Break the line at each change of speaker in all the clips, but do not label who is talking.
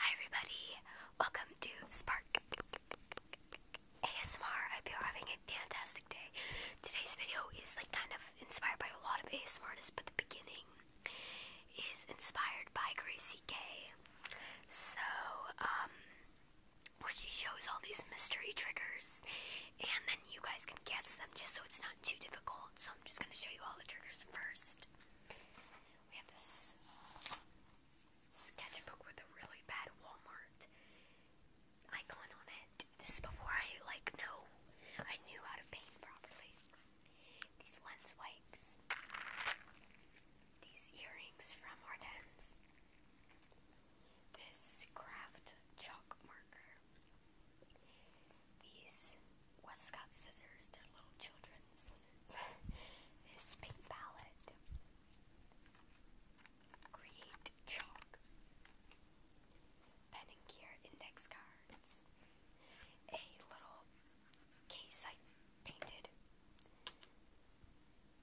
Hi everybody, welcome to Spark ASMR. I hope you're having a fantastic day. Today's video is like kind of inspired by a lot of ASMR but the beginning is inspired by Gracie Gay. So, um, where she shows all these mystery triggers, and then you guys can guess them just so it's not too difficult. So I'm just gonna show you all the triggers first. We have this sketchbook with a really bad Walmart icon on it. This is before I like know I knew how to paint properly. These lens wipes. These earrings from Ardennes. This craft chalk marker these Westcott scissors, they're little children's scissors, this pink palette, create chalk, pen and gear index cards, a little case I painted,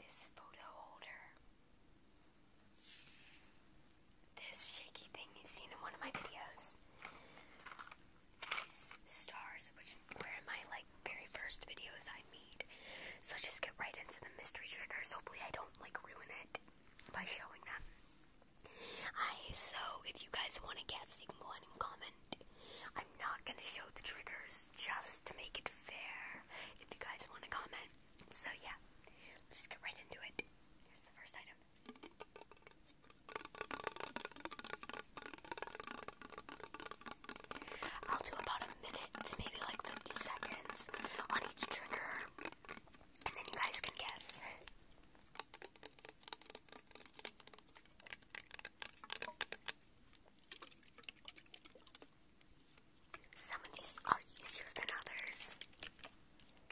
this photo holder, this shaky thing you've seen in one of my videos. These stars, which were in my like very first videos I made. So just get right into the mystery triggers. Hopefully I don't like ruin it by showing them. I so if you guys want to guess, you can go ahead and comment. I'm not gonna show the triggers just to make it fair. If you guys want to comment, so yeah, let's just get right into it. Here's the first item. I'll do about a minute maybe like 50 seconds on each trigger, and then you guys can guess. Some of these are easier than others.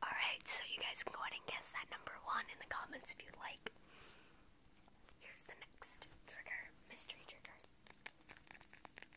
Alright, so you guys can go ahead and guess that number one in the comments if you'd like. Here's the next trigger, mystery trigger.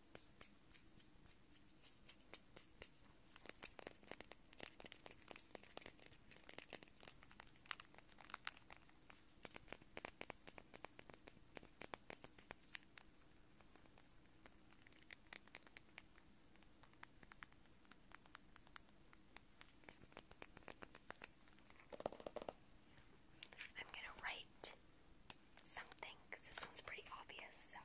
I'm going to write something, because this one's pretty obvious, so.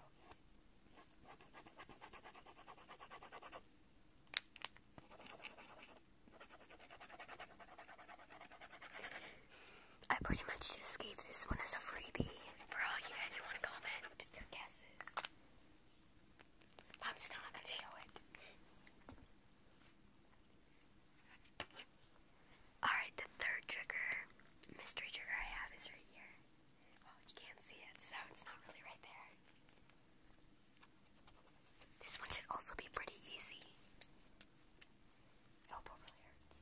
I pretty much just gave this one as a freebie for all you guys who want to comment their guesses. I'm still not going to show it. Alright, the third trigger, mystery trigger I have is right here. Well, you can't see it, so it's not really right there. This one should also be pretty easy. Elbow really hurts.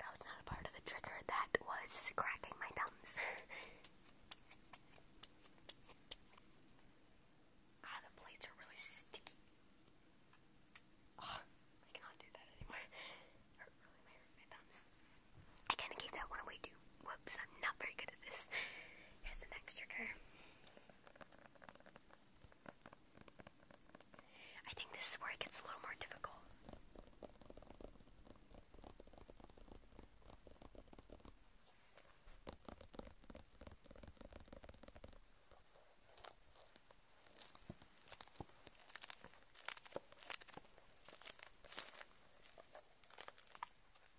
That was not a part of the trigger, that was cracking my thumbs. ah, the plates are really sticky. I cannot do that anymore. Hurt really my, my thumbs. I kind of gave that one away too. Whoops, I'm not very good at this. Here's the next trigger. I think this is where it gets a little more difficult.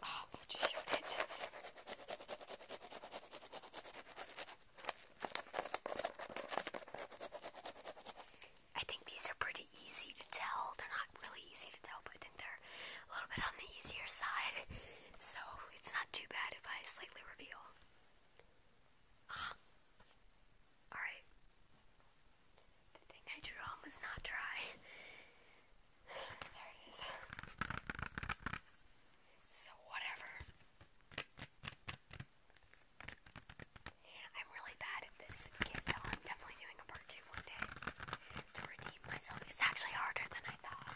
Ah, I think these are pretty easy to tell. They're not really easy to tell, but I think they're a little bit on the easier side. So it's not too bad if I slightly reveal. Ah. Alright. The thing I drew on was not dry. there it is. So, whatever. I'm really bad at this game, though. I'm definitely doing a part two one day to redeem myself. It's actually harder than I thought.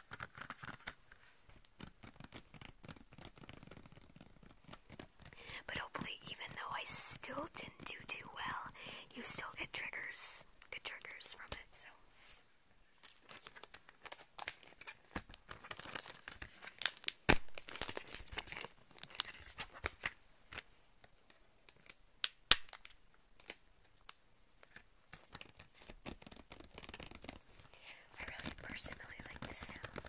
But hopefully, even though I still didn't do too well, you still get triggers, good triggers from it. So. I really personally like this sound.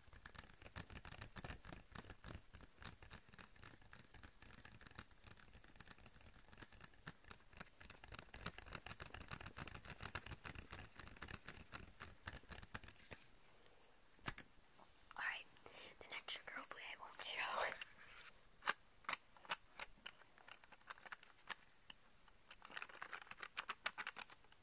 Alright, the next sugar hopefully I won't show.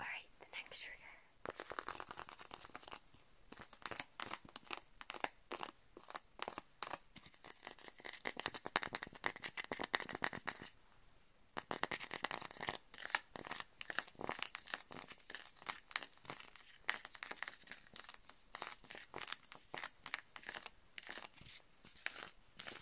Alright, the next trigger.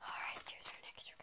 Alright, here's our next trigger.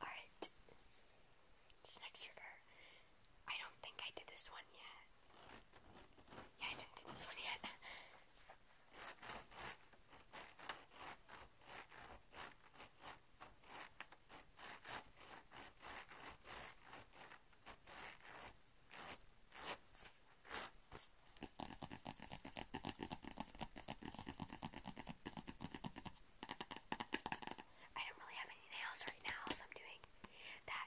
Alright, this next trigger. I don't think I did this one yet. Yeah, I didn't do this one yet. I don't really have any nails right now, so I'm doing that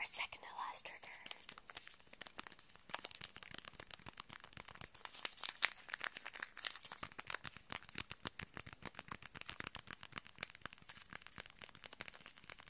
Our second to last trigger.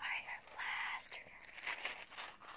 Alright, our last trigger. All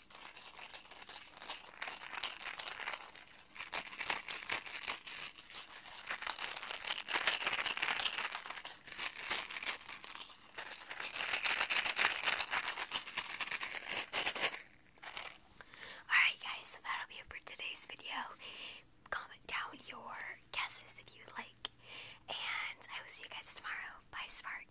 Alright, guys, so that'll be it for today's video. Comment down your guesses if you would like, and I will see you guys tomorrow. Bye, Spark.